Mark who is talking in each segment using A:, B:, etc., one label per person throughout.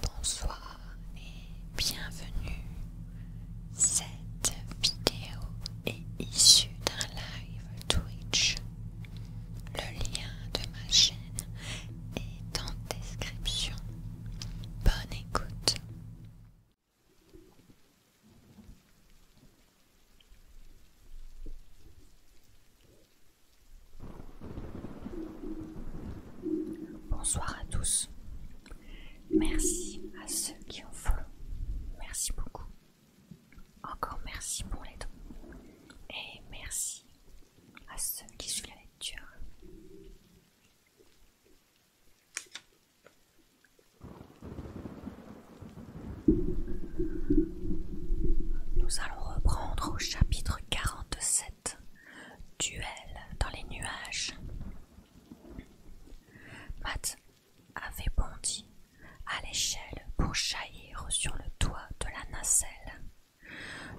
A: Bonsoir et bienvenue. Cette vidéo est issue d'un live Twitch. Le lien de ma chaîne est en description. Bonne écoute. Bonsoir à tous. Merci à ceux qui ont follow. Merci beaucoup. Encore merci pour les dons. Et merci à ceux qui suivent la lecture. Nous allons reprendre au chapitre 47 Duel dans les nuages. Matt avait bondi à l'échelle pour jaillir sur le toit de la nacelle.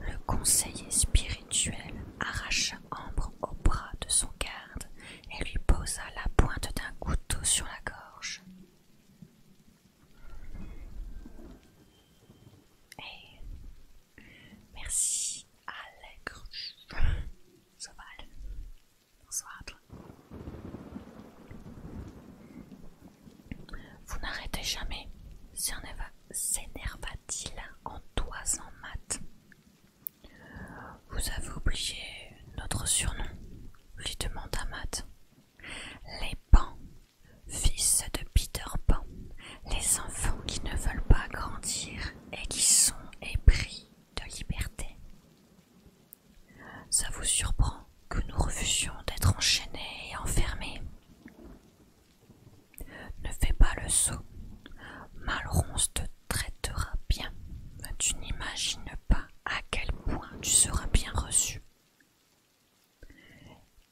A: Le conseiller spirituel arracha Ambre au bras de son garde et lui posa la pointe d'un couteau sur la gorge. Merci, Allègre. Bonsoir à toi. Vous n'arrêtez jamais, s'énerva-t-il en toisant en mat. Vous avez oublié notre surnom, lui demanda Matt. Les Pans, fils de Peter Pan, les enfants qui ne veulent pas grandir et qui sont épris de liberté. Ça vous surprend que nous refusions d'être enchaînés et enfermés. Ne fais pas le saut. Malronce te traitera bien. Tu n'imagines pas à quel point tu seras bien reçu.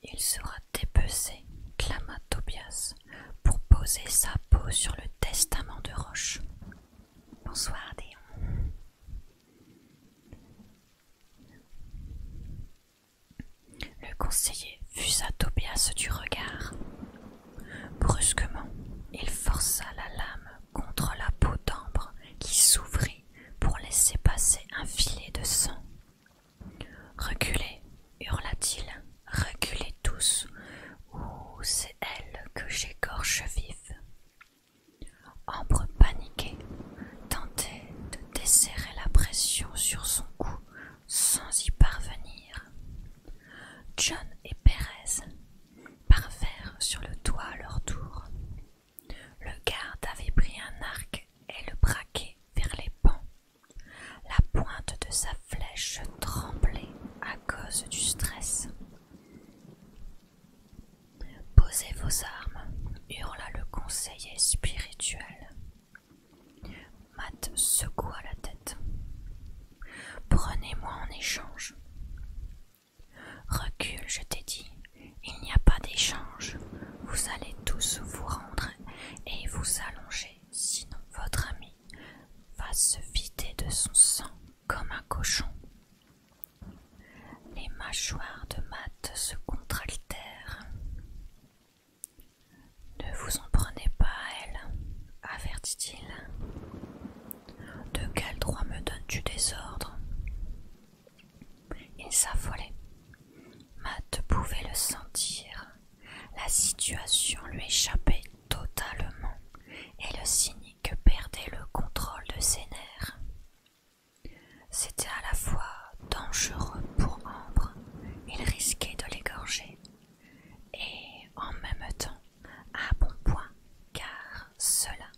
A: Il sera dépecé, clama Tobias, pour poser sa peau sur le testament de Roche. Bonsoir, Déon. Le conseiller fusa Tobias du regard. Brusquement, il força la lame contre la peau d'ambre qui s'ouvrit pour laisser passer un filet de sang Reculez, hurla-t-il, reculez tous, ou c'est elle que j'écorche vif !» Ambre paniquée tentait de desserrer la pression sur son cou sans y parvenir. John et Perez parvinrent sur le toit à leur tour. Le garde avait pris un arc et le braquait vers les pans la pointe de sa flèche tremblait à cause du stress. Posez vos armes, hurla le conseiller spirituel. Matt secoua la tête. Prenez-moi en échange. Recule, je t'ai dit, il n'y a pas d'échange. Vous allez tous vous rendre et vous allonger sinon votre ami va se vider de son sang comme un cochon. Les mâchoires de Matt se contraltèrent. Ne vous en prenez pas à elle, avertit-il. De quel droit me donnes-tu des ordres Il s'affolait. Matt pouvait le sentir la situation lui échappait totalement et le cynique perdait le contrôle de ses nerfs. C'était à la fois dangereux pour Ambre, il risquait de l'égorger, et en même temps à bon point, car cela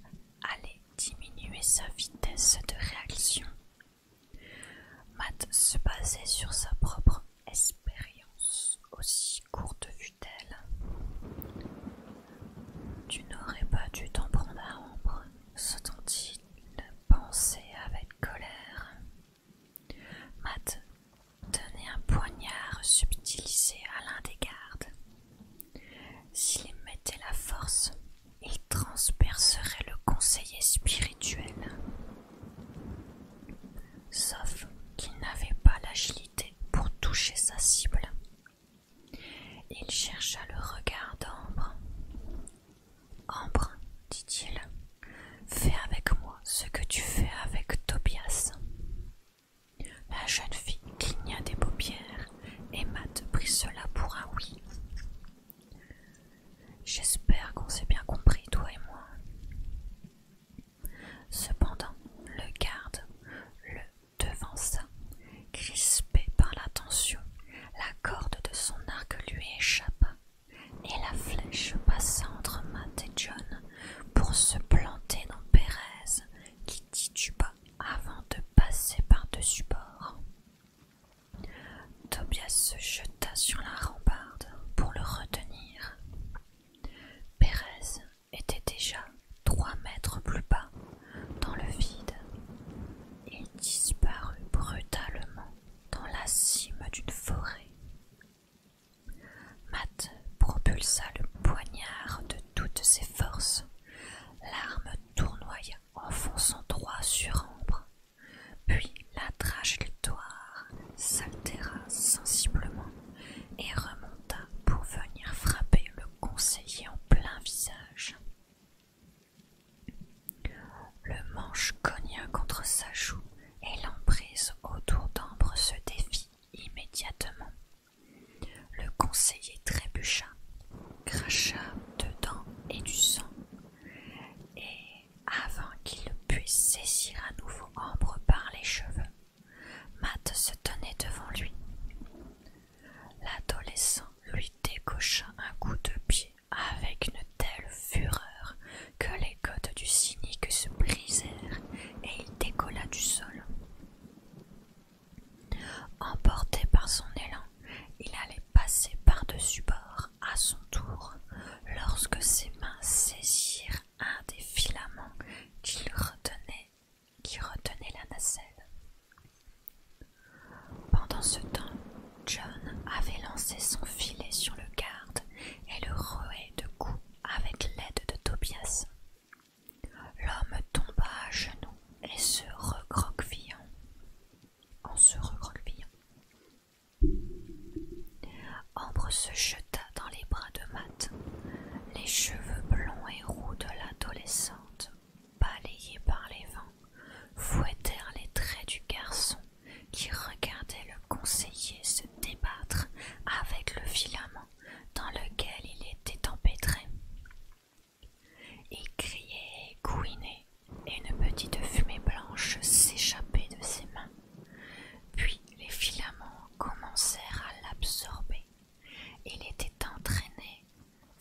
A: allait diminuer sa vitesse de réaction. Matt se basait sur sa propre expérience aussi courte fut-elle. Tu n'aurais pas dû t'en prendre à ombre, se tint-il, pensait avec colère. Matt tenait un poignard subtilisé à l'un des gardes. S'il mettait la force, il transpercerait le conseiller spirituel sauf qu'il n'avait pas l'agilité pour toucher sa cible. Il chercha le regard d'Ambre. Ambre, dit-il, fais avec moi ce que tu fais avec Tobias. La jeune fille cligna des paupières et Matt prit cela pour un oui. J'espère qu'on s'est bien compris, toi et moi. Cependant, le garde le devança. Crispé par la tension, la corde de son arc lui échappa et la flèche passa entre Matt et John pour se planter dans Perez, qui tituba avant de passer par-dessus bord. Tobias se jeta sur la rambarde pour le retenir Pérez était déjà trois mètres plus bas, dans le vide. Il disparut brutalement dans la cime d'une forêt. Matt propulsa le poignard de toutes ses forces. L'arme tournoya en fonçant droit sur Ambre, puis la trajectoire s'altéra sensiblement et remonta pour venir frapper le conseiller en plein visage. Le manche cogna contre sa joue et l'emprise autour d'Ambre se défit immédiatement. Le conseiller trébucha, cracha dedans et du sang, et avant qu'il puisse saisir à nouveau Ambre par les cheveux, Matt se tenait devant lui. L'adolescent lui décocha un coup de pied avec une telle fureur que les côtes du cynique se brisèrent et il décolla du sol. Emporté par son élan, il allait passer par-dessus bord à son tour lorsque ses mains saisirent un des filaments qui retenait, la nacelle. Pendant ce temps, John avait lancé son filet sur le garde et le roait de coups avec l'aide de Tobias. L'homme tomba à genoux et se recroquevillant. En se recroquevillant. Ambre se jeta dans les bras de Matt, les cheveux blonds et roux de l'adolescente, balayés par les vents, fouettèrent les traits du garçon qui regardait le conseiller se débattre avec le filament dans lequel il était empêtré. Il criait et couinait, et une petite fumée blanche s'échappait de ses mains. Puis les filaments commencèrent à l'absorber. et Il était entraîné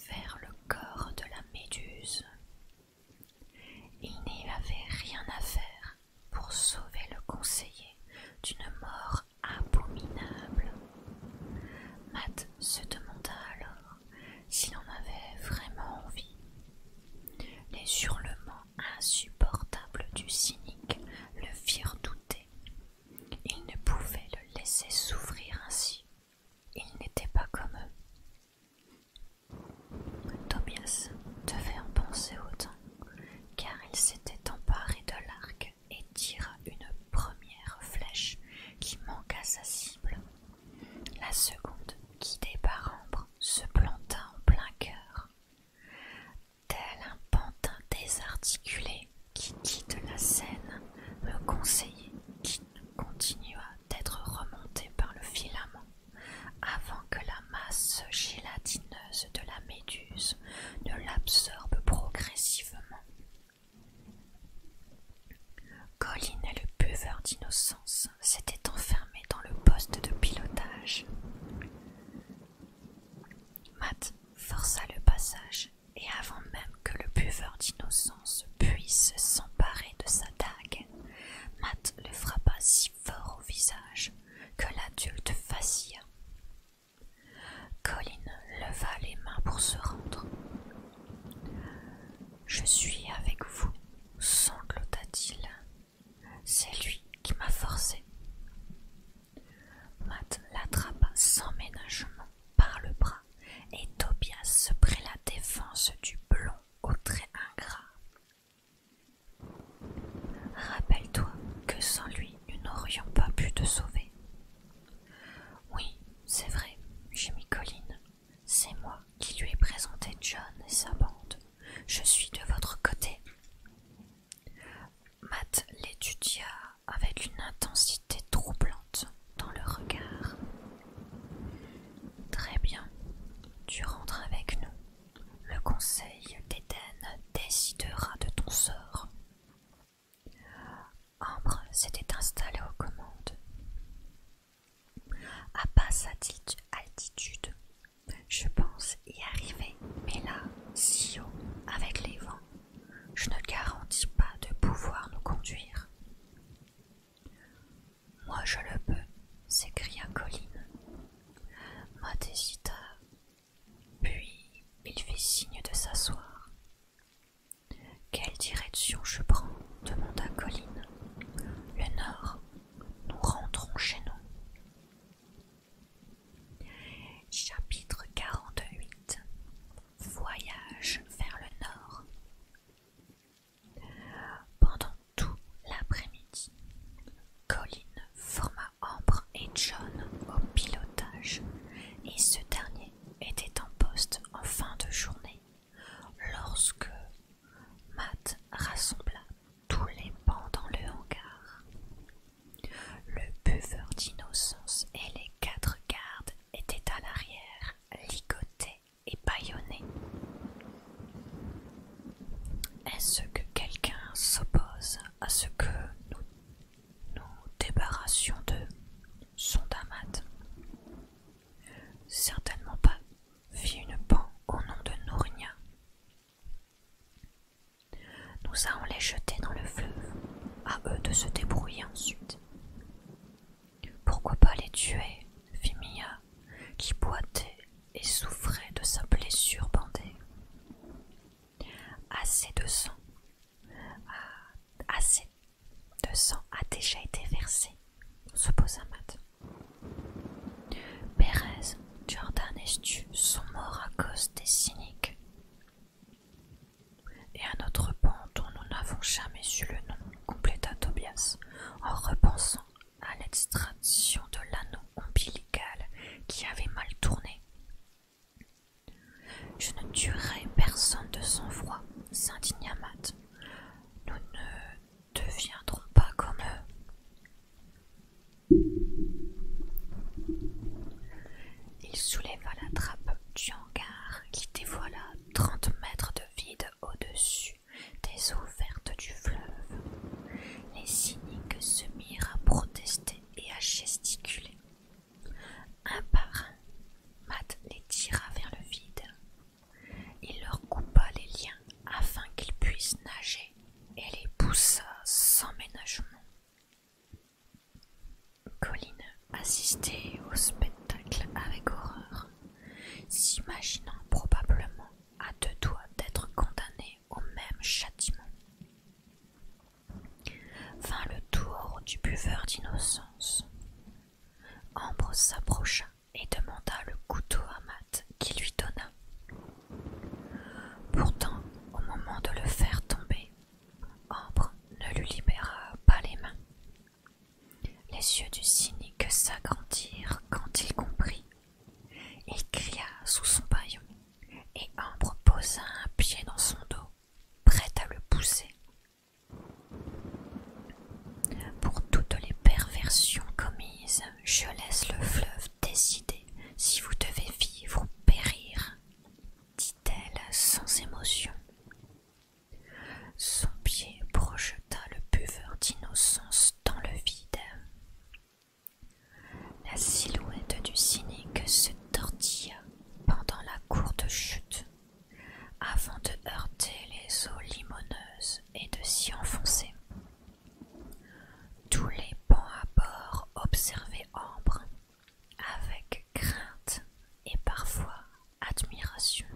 A: vers le corps de la méduse. Il n'y avait rien à faire pour sauver le conseiller d'une mort abominable. Matt se demanda alors s'il en avait vraiment envie. Les hurlements Insupportable du cynique le firent douter. Ils ne pouvaient le laisser souffrir ainsi. Il n'était pas comme eux. Tobias devait en penser autant, car il s'était emparé de l'arc et tira une première flèche qui manqua sa cible. La seconde, guidée par Ambre, se planta en plein cœur. Tel un pantin désarticulé qui quitte la scène, le conseiller qui continua d'être remonté par le filament, avant que la masse gélatineuse de la méduse ne l'absorbe progressivement. Colline et le buveur d'innocence s'étaient enfermé dans le poste de pilotage. Matt força le passage, et avant même que le buveur d'innocence puisse s'emparer de sa dague, Matt le frappa si fort au visage que l'adulte vacilla. Colin leva les mains pour se rendre. Je suis avec vous, sanglota-t-il, c'est lui qui m'a forcé. Matt l'attrapa sans ménagement par le bras et Tobias se prit la défense du blond au trait ingrat. Rappelle-toi que sans lui, nous n'aurions pas pu te sauver. Oui, c'est vrai, mis Colline. C'est moi qui lui ai présenté John et sa bande. Je suis de votre côté. Matt l'étudia avec une intensité troublante dans le regard. Très bien, tu rentres avec nous. Le conseil d'Éden décidera de ton sort. Ambre s'était installée aux commandes. À basse altitude, je pense y arriver, mais là, si haut, avec les vents, je ne garantis pas de pouvoir nous conduire. Moi je le peux, s'écria Colline. Matt hésita, puis il fit signe de s'asseoir. Quelle direction je prends demanda Colline. Le nord. Nous rentrons chez nous. Chapitre 48 Voyage vers le nord Pendant tout l'après-midi, Colin forma Ambre et John au pilotage et ce dernier était en poste en fin de journée lorsque Matt rassembla tous les pans dans le hangar. Le buveur d'innocence et les quatre gardes étaient à l'arrière, ligotés et bâillonnés. Est-ce que quelqu'un s'oppose à ce que nous nous débarrassions d'eux son Certainement pas, fit une pan au nom de Nournia. Nous allons les jeter dans le fleuve, à eux de se débrouiller ensuite. Pourquoi pas les tuer fit Mia, qui boitait et souffrait de sa blessure bandée. Assez de sang, ah, assez de sang a déjà été versé, se posa Matt. Jordan et Stu sont morts à cause des cyniques. Et un autre pan dont nous n'avons jamais su le nom, compléta Tobias, en repensant à l'extraction de l'anneau ombilical qui avait mal tourné. Je ne tuerai personne de sang-froid, Saint Matt. Nous ne deviendrons pas comme eux. Il souleva la trappe du hangar qui dévoila trente mètres de vide au-dessus des eaux vertes du fleuve. Les cyniques se mirent à protester et à gesticuler. Un par un, Matt les tira vers le vide. Il leur coupa les liens afin qu'ils puissent nager elle et les poussa sans ménagement. Colline assistait au spectacle avec horreur, s'imaginant probablement à deux doigts d'être condamnée au même châtiment. Vint le tour du buveur d'innocence. Ambre s'approcha et demanda le couteau à Matt qui lui donna. Pourtant, au moment de le faire tomber, Ambre ne lui libéra pas les mains. Les yeux du cynique s'agrandirent quand il comprit. Il cria sous son paillon, et Ambre posa un pied dans son dos, prêt à le pousser. Pour toutes les perversions commises, je laisse le fleuve décider si vous devez vivre ou périr, dit-elle sans émotion. Son pied projeta le buveur d'innocence dans le vide. La silhouette du cynique se tortilla pendant la courte chute, avant de heurter les eaux limoneuses et de s'y enfoncer. Tous les pans à bord observaient Ambre avec crainte et parfois admiration.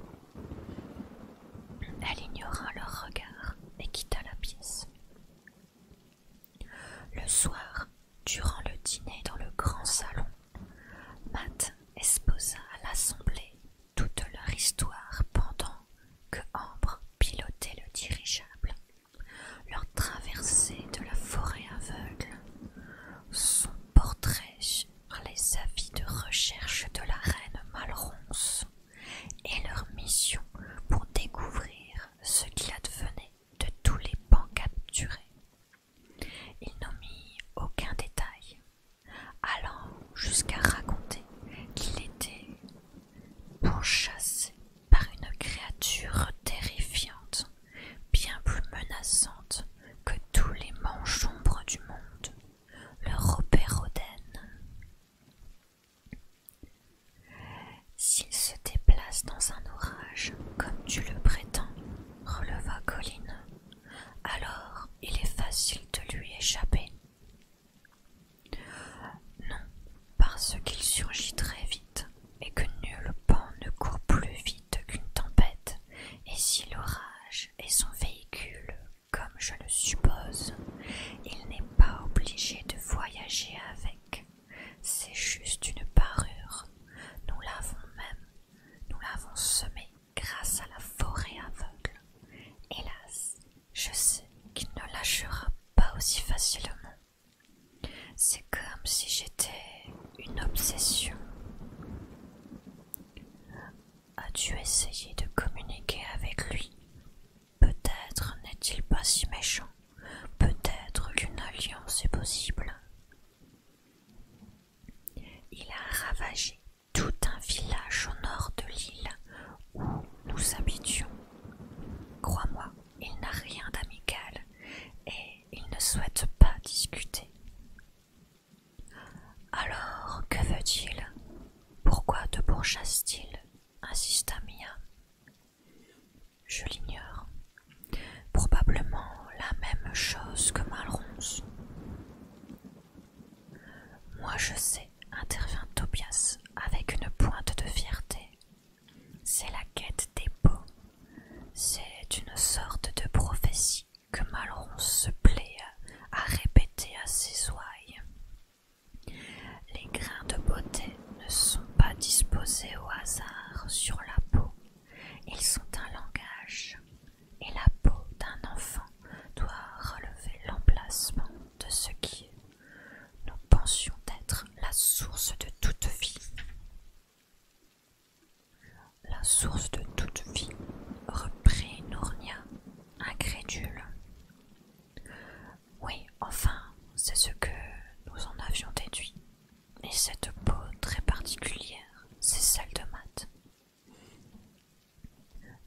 A: Elle ignora leur regard et quitta la pièce. Le soir, durant le dîner dans le grand salon, Matt exposa à l'assemblée toute leur histoire pendant que Ambre pilotait le dirigeable leur traversée de la forêt aveugle, son portrait par les avis de recherche de la reine Malronce et leur mission pour découvrir ce qui advenait de tous les pans capturés. Ils n'ont mis aucun détail, allant jusqu'à raconter qu'il était pourchassé par une créature terrifiante, bien plus menaçante que tous les manches du monde, le Robérodène. S'il se déplace dans un orage, comme tu le prétends, releva Colline, alors il est facile de lui échapper. Non, parce qu'il surgit très vite, et que nul pan ne court plus vite qu'une tempête, et si l'orage est son véhicule, comme je le suppose, il n'est pas obligé de voyager avec. C'est juste une parure. Nous l'avons même, nous l'avons semé grâce à la forêt aveugle. Hélas, je sais qu'il ne lâchera pas aussi facilement. C'est comme si j'étais une obsession. As-tu essayé de communiquer avec lui Peut-être n'est-il pas si méchant. Peut-être qu'une alliance est possible. Il a ravagé tout un village au nord de l'île où nous habitions. Crois-moi, il n'a rien d'amical et il ne souhaite pas discuter. Alors, que veut-il Pourquoi te pourchasse-t-il insista Mia. Je l'ignore. Probablement la même chose que Malronce. Moi je sais, intervient Tobias avec une pointe de fierté. C'est la quête des peaux. C'est une sorte de prophétie que Malron se plaît à répéter à ses ouailles. Les grains de beauté ne sont pas disposés au hasard sur la peau. Ils sont un langage, et la peau d'un enfant doit relever l'emplacement de ce qui est nous pensions d'être la source de toute vie. La source de toute vie, reprit Nournia, incrédule. Oui, enfin, c'est ce que nous en avions déduit. Et cette peau très particulière, c'est celle de Matt.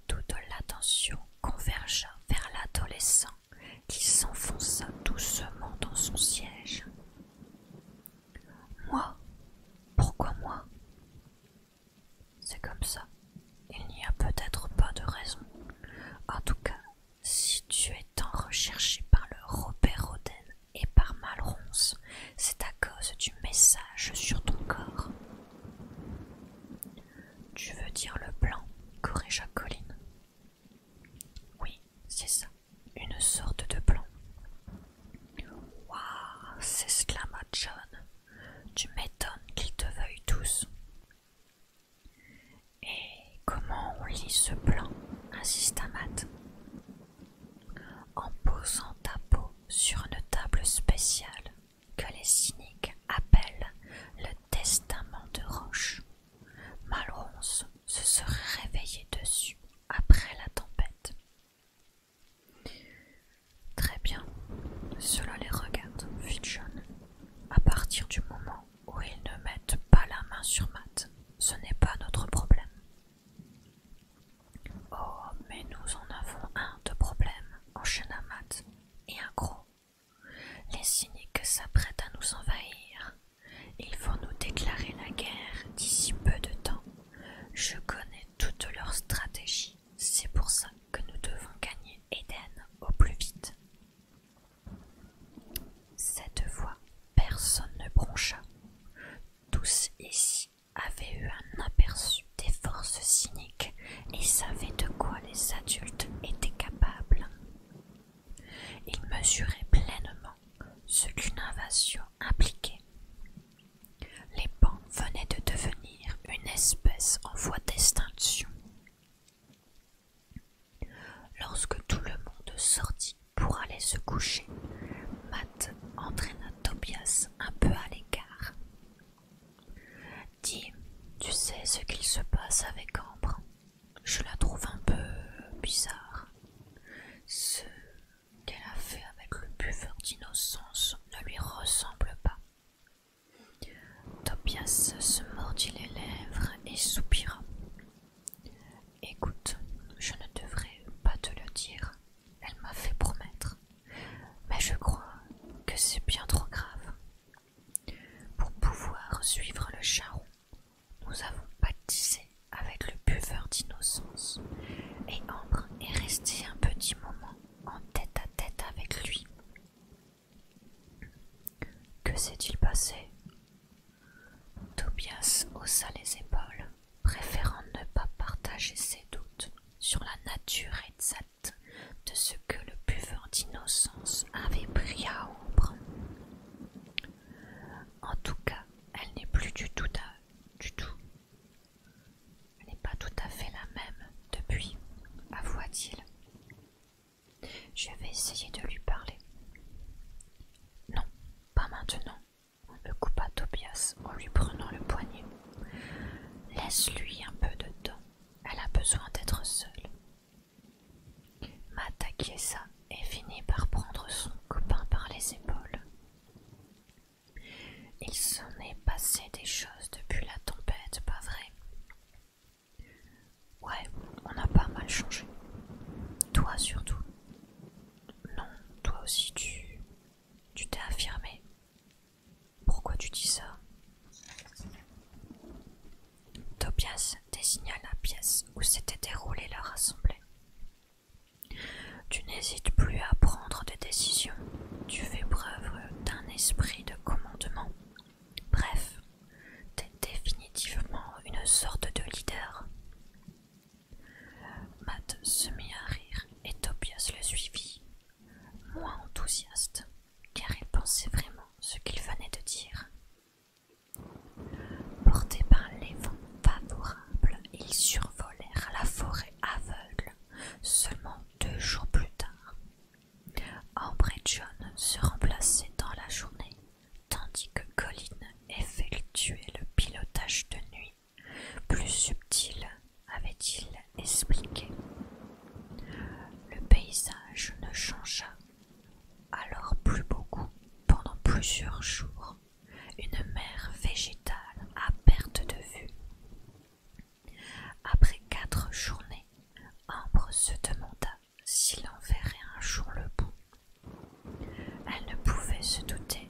A: Toute l'attention convergea vers l'adolescent qui s'enfonça doucement dans son siège. Moi Pourquoi moi C'est comme ça. Il n'y a peut-être pas de raison. En tout cas, si tu es tant recherché par le Robert Roden et par Malronce, c'est à cause du message sur ton corps. Tu veux dire le blanc, corrigea Colline. Oui, c'est ça, une sorte de plan. Waouh s'exclama John. Tu m'étonnes qu'ils te veuillent tous. Et comment on lit ce plan insiste Matt. En posant ta peau sur une table spéciale que les cyniques appellent le testament de roche. Malronce se serait réveillé dessus après la tempête. Très bien, cela les regarde, fit John. À partir du moment où ils ne mettent pas la main sur Matt, ce n'est pas notre problème. Oh, mais nous en avons un de problème, enchaîna Matt, et un gros. Les cyniques s'apprêtent à nous envahir. Ils vont nous déclarer la guerre d'ici peu de temps. Je connais toutes leurs stratégies. C'est pour ça que nous devons gagner Eden au plus vite. Cette fois, personne ne broncha. Tous ici avaient eu un aperçu des forces cyniques et savaient de quoi les adultes étaient capables. Ils mesuraient pleinement ce qu'une invasion impliquait. Les pans venaient de devenir une espèce en voie d'extinction. Lorsque tout le monde sortit pour aller se coucher, Matt entraîna Tobias un peu à l'écart. Dis, tu sais ce qu'il se passe avec Ambre je la trouve un peu bizarre. Ce qu'elle a fait avec le buveur d'innocence ne lui ressemble pas. Tobias se mordit les lèvres et soupira. Écoute, je ne devrais pas te le dire, elle m'a fait promettre, mais je crois que c'est bien trop grave. Pour pouvoir suivre le charron, nous avons baptisé avec le buveur d'innocence, et Ambre est resté un petit moment en tête à tête avec lui. Que s'est-il passé Tobias haussa les épaules, préférant ne pas partager ses doutes sur la nature exacte de ce que le buveur d'innocence avait pris à Ombre. En tout cas, elle n'est plus du tout, à, du tout. Elle n'est pas tout à fait la même depuis, avoua-t-il. Je vais essayer de lui parler. Non, pas maintenant, le coupa Tobias en lui prenant le poignet. Laisse-lui un peu de temps, elle a besoin d'être seule m'attaquait ça et finit par prendre son copain par les épaules. Il s'en est passé des choses depuis la tempête, pas vrai Ouais, on a pas mal changé. Toi surtout. Non, toi aussi tu... Tu t'es affirmé. Pourquoi tu dis ça Tobias désigna la pièce où s'était déroulée leur rassemblée. Tu n'hésites plus à prendre des décisions, tu fais preuve d'un esprit de commandement. Bref, tu définitivement une sorte de leader. Matt se mit à rire et Tobias le suivit, moins enthousiaste, car il pensait vraiment ce qu'il venait de dire. Portés par les vents favorables, ils survolèrent la forêt aveugle seulement deux jours plus tard. Ambre et John se remplaçaient dans la journée, tandis que Colin effectuait le pilotage de nuit, plus subtil, avait-il expliqué. Le paysage ne changea alors plus beaucoup pendant plusieurs jours une mer végétale à perte de vue. Après quatre journées, Ambre se demanda s'il en verrait un jour le bout. Elle ne pouvait se douter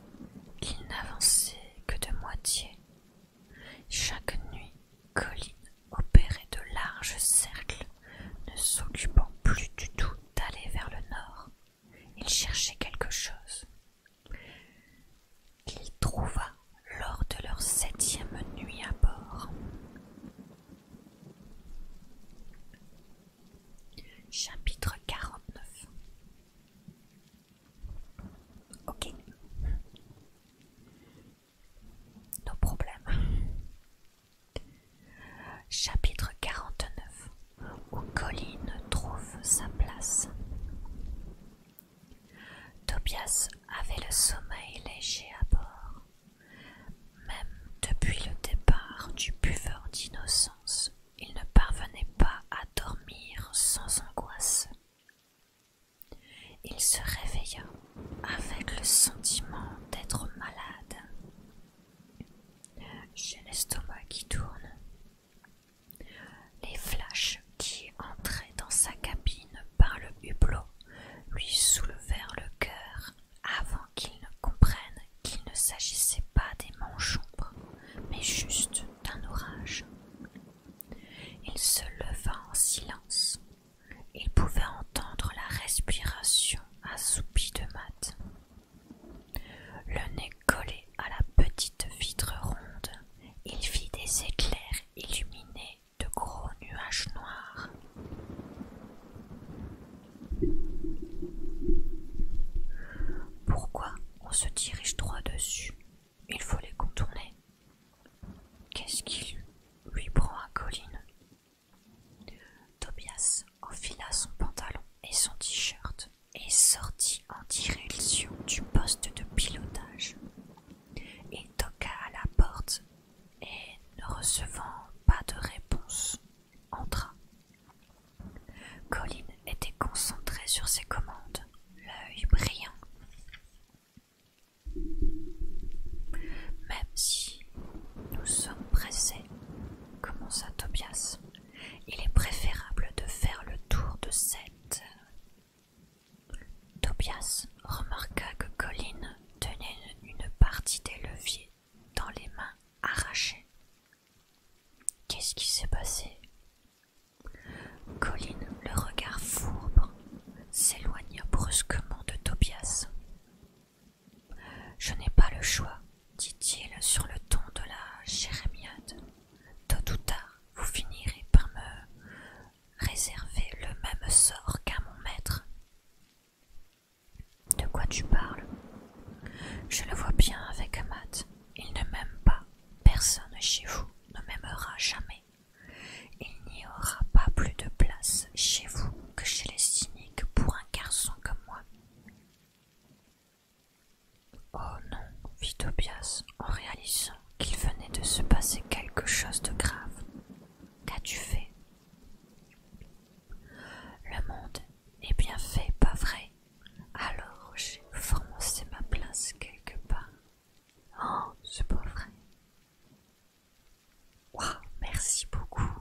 A: qu'il n'avançait que de moitié. Chaque nuit, Colline opérait de larges cercles, ne s'occupant plus du tout d'aller vers le nord, il cherchait quelque chose qu'il trouva lors de leur septième nuit à bord. Chapitre 49 Ok. Nos problèmes. Chapitre 49 Où Colline trouve sa place Tobias avait le sommeil léger à bord, même depuis le départ du buveur d'innocence. Il ne parvenait pas à dormir sans angoisse. Il se réveilla avec le sentiment d'être malade. J'ai l'estomac qui tourne. Les flashs qui entraient dans sa cabine par le hublot lui soulevèrent le cœur avant qu'il ne comprenne qu'il ne s'agissait pas des manchombres mais juste d'un orage. Il se leva en silence. Il pouvait entendre la respiration assoupie de Matt. Le nez collé à la petite vitre ronde, il vit des éclairs illuminés de gros nuages noirs. Pourquoi on se dirige droit dessus Il faut les contourner. Qu'est-ce qu'il lui prend à Colline Tobias enfila son pantalon et son t-shirt est sorti en direction du poste de pilotage. Il toqua à la porte et, ne recevant pas de réponse, entra. Colin était concentrée sur ses commandes, l'œil brillant. Même si nous sommes pressés, commença Tobias, il est préférable de faire le tour de cette. Tobias remarqua que Colline tenait une partie des leviers dans les mains arrachées. Qu'est-ce qui s'est passé Colline, le regard fourbre, s'éloigna brusquement de Tobias. Je n'ai pas le choix, dit-il sur le ton de la jérémiade. Tôt ou tard, vous finirez par me réserver le même sort qu'à mon maître. De quoi tu parles Je le vois bien avec Matt. Il ne m'aime pas. Personne chez vous ne m'aimera jamais. Il n'y aura pas plus de place chez vous que chez les cyniques pour un garçon comme moi. Oh non, fit Tobias en réalisant qu'il venait de se passer quelque chose de grave. Qu'as-tu fait Le monde est bien fait, pas vrai Alors j'ai forcé ma place quelque part. Oh, c'est pas vrai. Wow, merci beaucoup.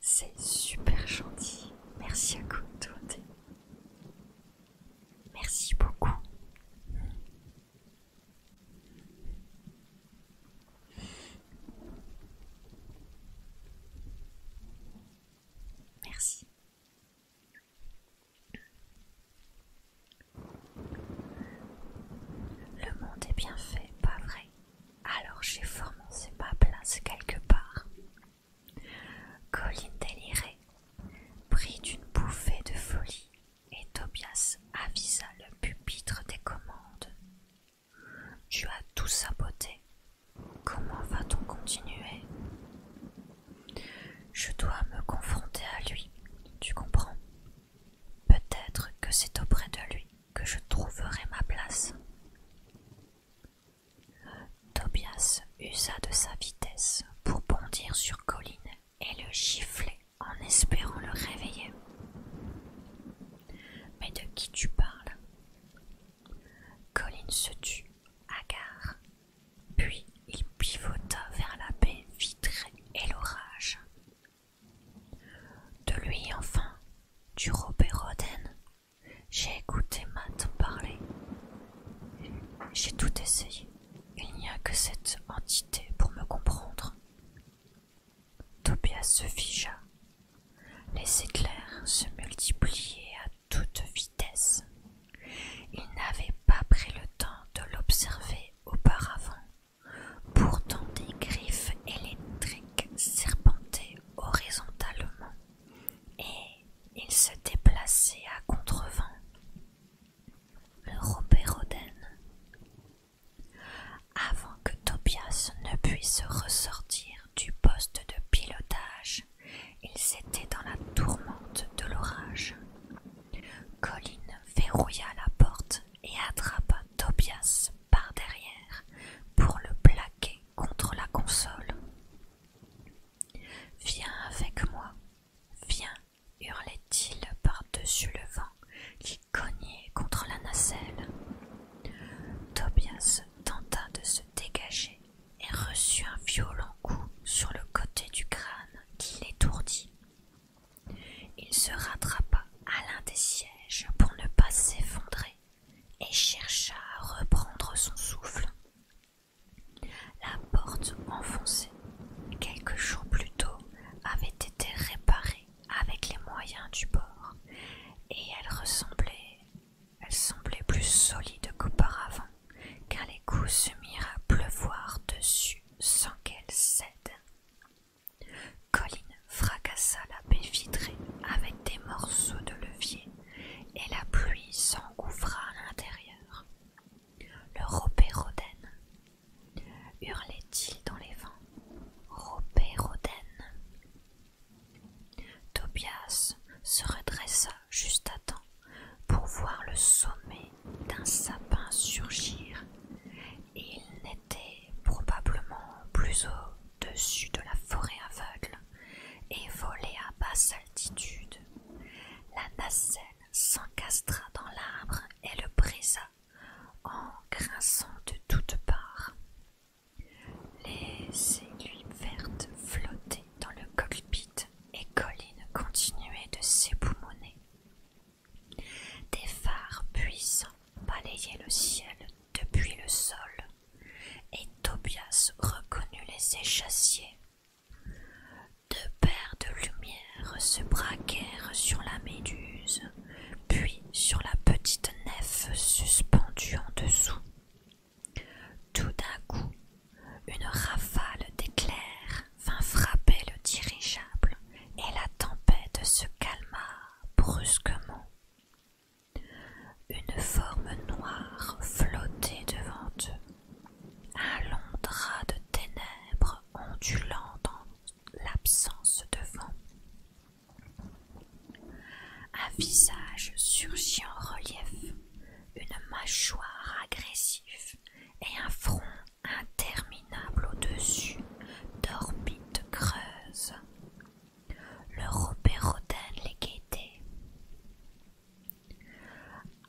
A: C'est super gentil. Merci à vous Merci beaucoup. Merci. Le monde est bien fait, pas vrai Alors j'ai formé ma place quelque part. Colline délirait, prit d'une bouffée de folie, et Tobias avisa le pupitre des commandes. Tu as tout saboté. Comment va-t-on continuer Je dois me confronter à lui, tu comprends Peut-être que c'est auprès de lui que je trouverai ma place. Tobias usa de sa vitesse pour bondir sur Colline et le gifler en espérant le réveiller. Mais de qui tu parles Colline se tut, hagard, puis il pivota vers la baie vitrée et l'orage. De lui enfin, du Robert Roden, j'ai écouté Matt parler. J'ai tout essayé. Il n'y a que cette entité pour me comprendre. Tobias se figea. Les éclairs se multipliaient à toute vitesse. Il n'avait pas pris le temps de l'observer auparavant. Pourtant des griffes électriques serpentaient horizontalement et il se déplaçait à contrevent. Le robéroden. Avant que Tobias ne puisse ressortir du poste de pilotage, ils étaient dans la tourmente de l'orage. Colline verrouilla la porte et attrapa Tobias par derrière pour le plaquer contre la console. Viens avec moi, viens, hurlait-il par-dessus le vent qui cognait contre la nacelle. Tobias tenta de se dégager et reçut un violent coup sur le côté du crâne qui l'étourdit. Il se rattrapa à l'un des sièges pour ne pas s'effondrer et chercha à reprendre son souffle. La porte enfoncée, quelques jours plus tôt, avait été réparée avec les moyens du bord, et elle ressemblait, elle semblait plus solide qu'auparavant, car les coups se mirent à pleuvoir dessus sans qu'elle cède. Colline fracassa la baie vitrée avec des morceaux de levier et la pluie s'engouffra à l'intérieur. Le ropérodène hurlait-il dans les vents. Ropérodène Tobias se redressa juste à temps pour voir le sommet d'un sapin surgir. Il n'était probablement plus haut dessus de la forêt aveugle et volait à basse altitude. La nacelle s'encastra dans l'arbre et le brisa en grinçant de toutes parts. Les aiguilles vertes flottaient dans le cockpit et Colline continuait de s'époumoner Des phares puissants balayaient le ciel depuis le sol et Tobias reconnut les échassiers. Deux paires de lumières se braquèrent sur la méduse, puis sur la petite nef suspendue en dessous. Tout d'un coup, une rafale d'éclairs vint frapper le dirigeable et la tempête se calma brusquement. Une forme noire flottait devant eux, un long drap de ténèbres ondulant dans l'absence de vent. Un visage surgit en relief, une mâchoire agressive et un front interminable au-dessus d'orbites creuses. Le robéroden les guettait.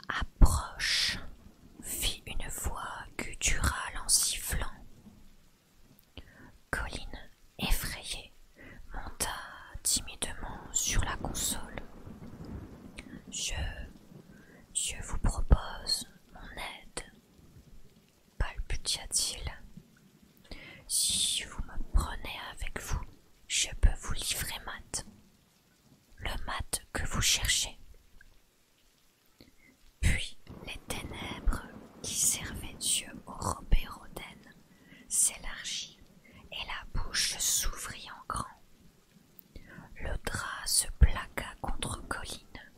A: Approche, fit une voix gutturale en sifflant. Colline, effrayée, monta timidement sur la console. Je. Je vous propose mon aide, palputia-t-il. Si vous me prenez avec vous, je peux vous livrer mat, le mat que vous cherchez. Puis les ténèbres qui servaient Dieu au Robert s'élargit et la bouche s'ouvrit en grand. Le drap se plaqua contre Colline.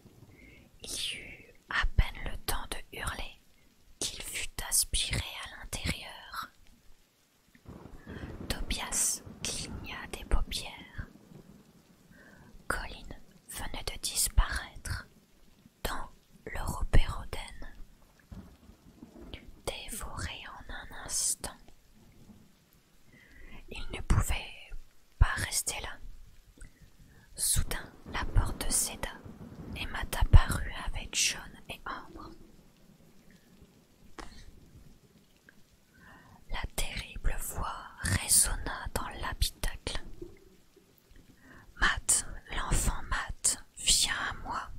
A: Il eut à peine le temps de hurler qu'il fut aspiré à l'intérieur. Tobias cligna des paupières. Colin venait de disparaître dans le repéroden, dévoré en un instant. Il ne pouvait pas rester là. Soudain, la porte céda et Matt apparut avec jaune et Ambre. La terrible voix résonna dans l'habitacle. Matt, l'enfant Matt, viens à moi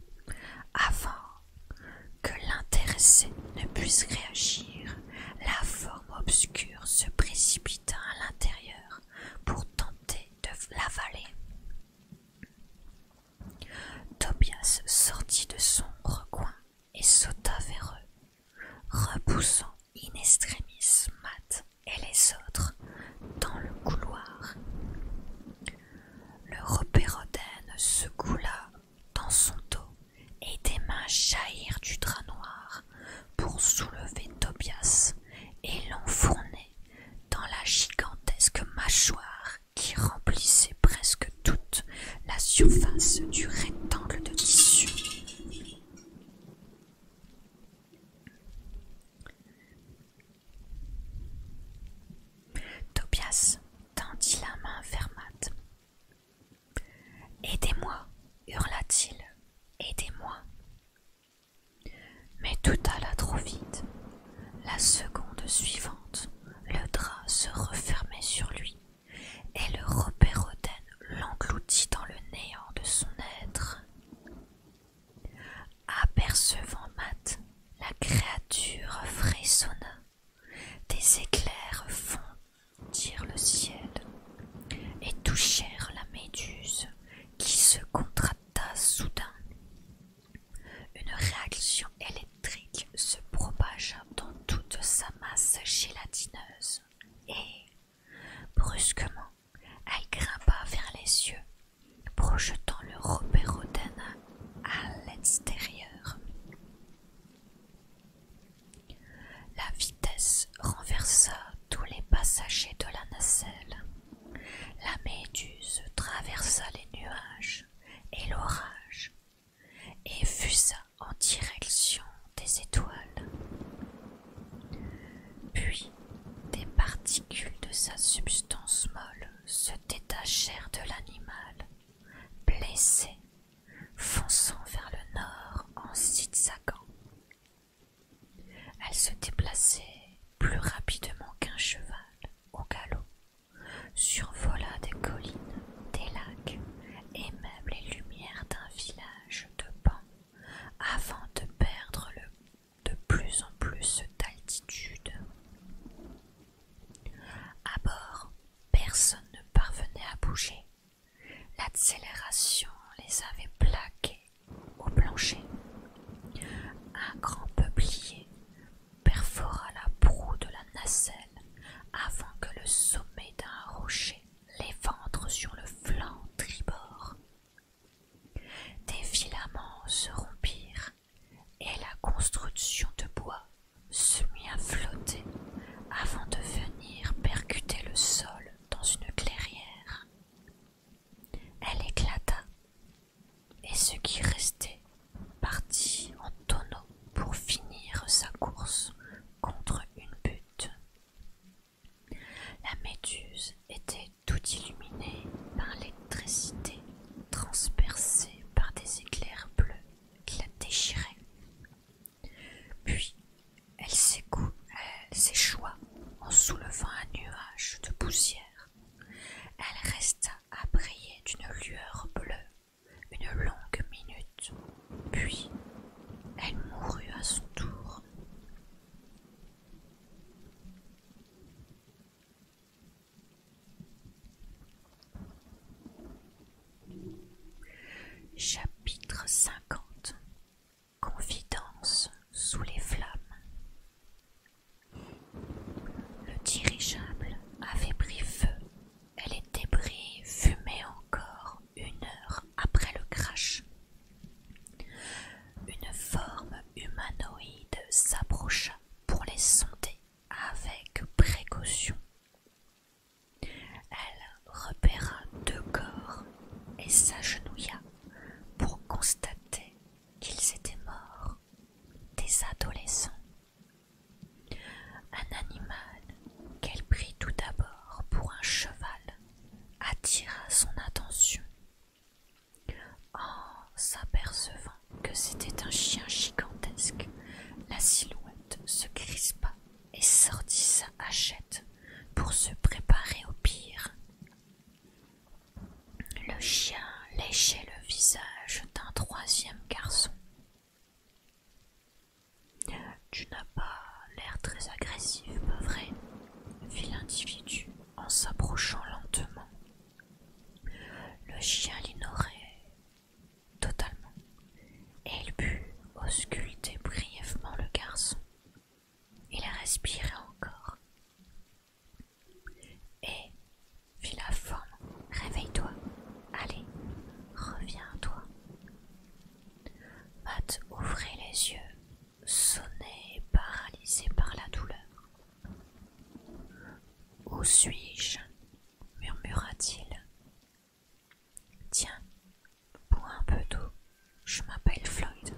A: avant que l'intéressé ne puisse réagir. La forme obscure se précipita à l'intérieur pour tenter de l'avaler. Tobias sortit de son recoin et sauta vers eux, repoussant in extremis Matt et les autres dans le couloir. Le repérodène se coula dans son dos et des mains jaillirent du drap noir pour soulever Tobias et l'enfourner dans la gigantesque mâchoire qui remplissait presque toute la surface du rectangle de tissu. Tobias tendit la main vers Aidez-moi, hurla-t-il, aidez-moi. Mais tout alla trop vite. La seconde suivante, le drap se refermait sur lui, et le repère l'engloutit dans le néant de son être. Apercevant Matt, la créature frissonna. Des éclairs fondirent le ciel et touchèrent la méduse qui se contracta soudain. Une réaction électrique se propagea dans toute sa masse gélatineuse et, brusquement, elle grimpa vers les yeux, projetant le robert à l'extérieur. La vitesse renversa tous les passagers de la nacelle. La méduse traversa les nuages et l'orage et fusa en direction des étoiles. Puis des particules de sa substance molle se détachèrent de l'animal, blessé, fonçant vers le nord en zigzagant. Elle se déplaçait plus rapidement qu'un cheval au galop survola des collines, des lacs et même les lumières d'un village de banc avant de perdre de plus en plus d'altitude. À bord, personne ne parvenait à bouger. L'accélération les avait plaqués au plancher. Un grand peuplier perfora la proue de la nacelle avant que le sommet d'un rocher l'éventre sur le flanc tribord. Des filaments se rompirent et la construction de bois se mit à flotter avant de venir percuter le sol dans une clairière. Elle éclata et ce qui restait partit en tonneau pour finir sa course contre une butte. La méduse était tout illuminée par l'électricité transpercée par des éclairs bleus qui la déchiraient. Puis elle s'échoua en soulevant un nuage de poussière. Elle resta à briller d'une lueur bleue une longue minute, puis elle mourut à son tour. Chapitre 50 Confidence sous les flammes le dirigeable avait pris feu. et les débris fumaient encore une heure après le crash. Une forme humanoïde s'approcha pour les sonder avec précaution. Elle repéra deux corps et s'agenouilla pour constater qu'ils étaient morts, des adolescents un animal qu'elle prit tout d'abord pour un cheval attira son attention. En s'apercevant que c'était un chien gigantesque, la silhouette se crispa et sortit sa hachette pour se préparer au pire. Le chien léchait le visage d'un troisième garçon tu n'as pas l'air très agressif, pas vrai fit l'individu en s'approchant lentement. Le chien l'ignorait totalement et il put ausculter brièvement le garçon. Il respirait encore. Et vu la forme, réveille-toi. Allez, reviens à toi. Matt ouvrait les yeux, sonné, paralysé par la douleur. Où suis-je murmura-t-il. Tiens, bois un peu d'eau, je m'appelle Floyd.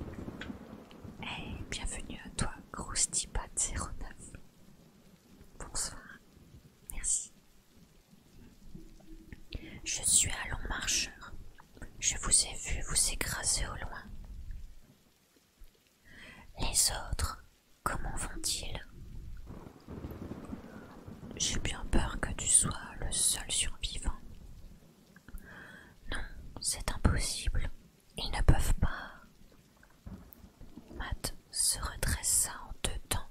A: Eh, bienvenue à toi, Grousty 09. Bonsoir. Merci. Je suis un long marcheur. Je vous ai vu vous écraser au loin. Les autres, comment vont-ils J'ai bien peur que tu sois le seul survivant. Non, c'est impossible. Ils ne peuvent pas. Matt se redressa en deux temps,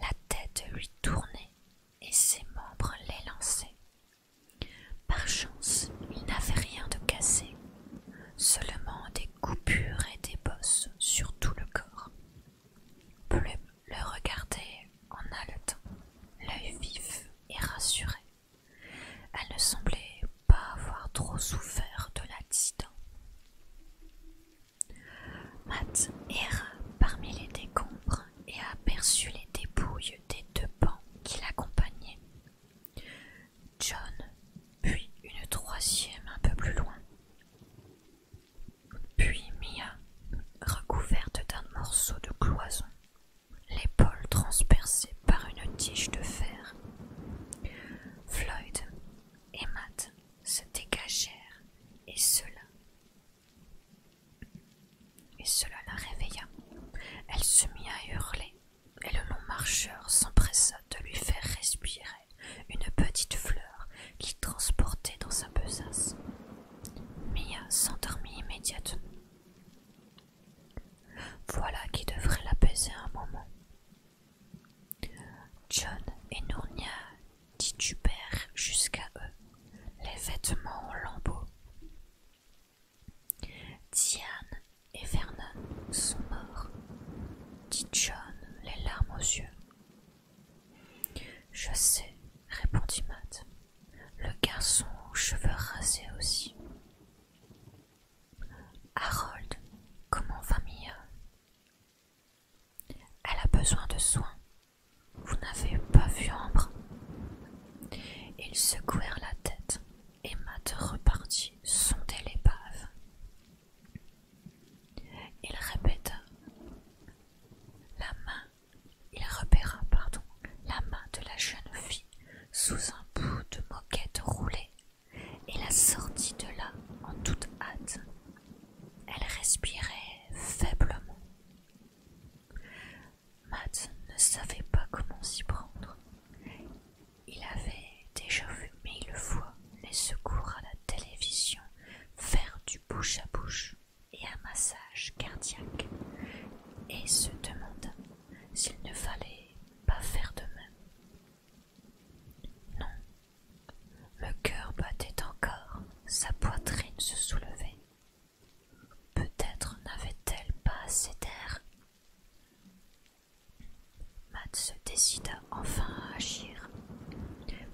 A: la tête lui tournait et ses membres l'élançaient. Par chance, il n'avait rien de cassé, seulement des coupures et des bosses sur tout le corps. Plume le regardait en haletant, l'œil vif et rassuré. Elle ne semblait pas avoir trop souffert de l'accident. Matt erra parmi les décombres et aperçut les dépouilles des deux bancs qui l'accompagnaient. John, puis une troisième un peu plus loin. Puis Mia, recouverte d'un morceau de cloison, l'épaule transpercée par une tige de fer. Floyd et Matt se dégagèrent et cela et cela la réveilla. Elle se mit à hurler et le long marcheur s'empressa de lui faire respirer une petite fleur qu'il transportait dans sa besace. Mia s'endormit immédiatement. Voilà qui devrait l'apaiser un moment, John et Nournia titubèrent jusqu'à eux, les vêtements en lambeaux. Diane et Vernon sont morts, dit John, les larmes aux yeux. Je sais, répondit Matt, le garçon aux cheveux rasés aussi. Harold, comment va Mia elle a besoin de soins. Vous n'avez pas vu Ambre Ils secouèrent la tête et Matt repartit sonder l'épave. Il répéta la main, il repéra, pardon, la main de la jeune fille sous un bout de moquette roulée et la sortit de là en toute hâte. Elle respirait faiblement. Matt ne savait pas comment s'y prendre. Il avait déjà vu mille fois les secours à la télévision faire du bouche à bouche et un massage cardiaque et se demanda s'il ne fallait pas faire de même. Non. Le cœur battait encore, sa poitrine se soulevait. Peut-être n'avait-elle pas assez d'air. Matt se décida enfin à agir.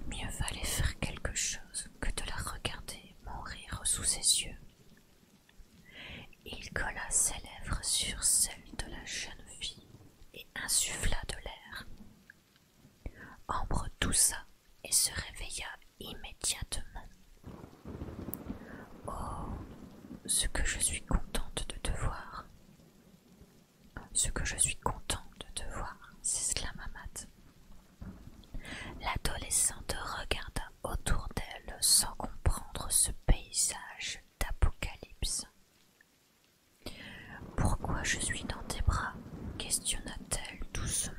A: Mieux valait faire quelque chose que de la regarder mourir sous ses yeux. Il colla ses lèvres sur celles de la jeune fille et insuffla de l'air. Ambre toussa et se réveilla immédiatement. Oh, ce que je suis contente de te voir. Ce que je suis contente de te voir, s'exclama Matt. L'adolescente regarda autour d'elle sans comprendre ce paysage d'apocalypse. Pourquoi je suis dans tes bras questionna-t-elle doucement.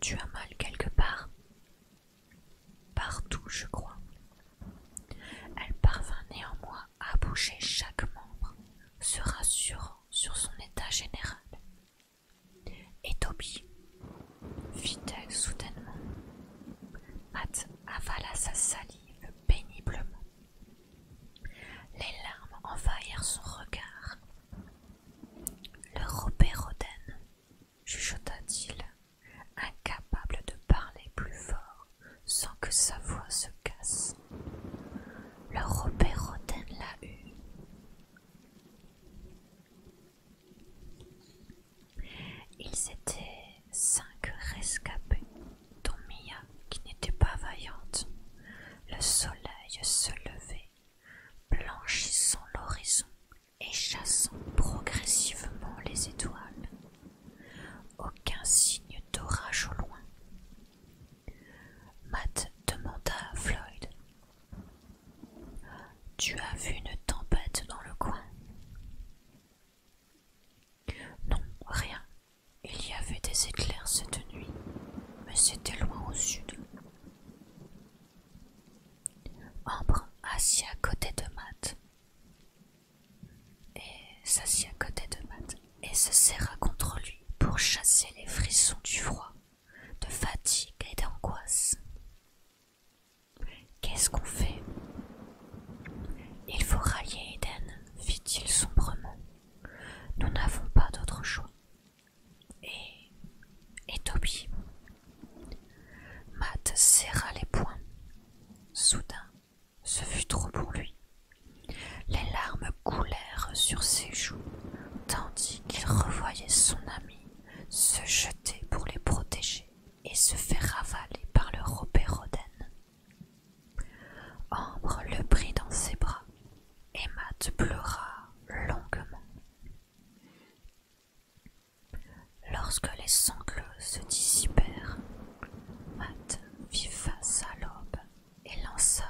A: Tu as mal quelque part Partout, je crois. Elle parvint néanmoins à bouger chaque membre, se rassurant sur son état général. Et Toby fit-elle soudainement. Matt avala sa salive péniblement. Les larmes envahirent son regard. Le Robert Roden, chuchota-t-il, incapable de parler plus fort sans que sa voix se casse. Le Robert Roden l'a eu. Ils étaient cinq rescapés, dont Mia qui n'était pas vaillante. Le soleil se levait, blanchissant l'horizon et chassant progressivement les étoiles. Aucun signe d'orage au loin. Matt demanda à Floyd Tu as vu une tempête dans le coin non, rien. Il y avait des éclairs cette nuit, mais c'était loin au sud. Ambre assis à côté de Matt et s'assit à côté de Matt et se serra contre lui pour chasser les frissons du froid, de fatigue et d'angoisse. Qu'est-ce qu'on fait Il faut rallier Eden, fit-il sombrement. Nous n'avons pas d'autre choix. Et. Et Toby Matt serra les poings. Soudain, ce fut trop pour lui. Les larmes coulèrent sur ses joues, tandis qu'il revoyait son ami se jeter pour les protéger et se faire avaler par le Robert Ambre le prit dans ses bras et Matt pleura longuement. Lorsque les sanglots se dissipèrent, Matt fit face à l'aube et lança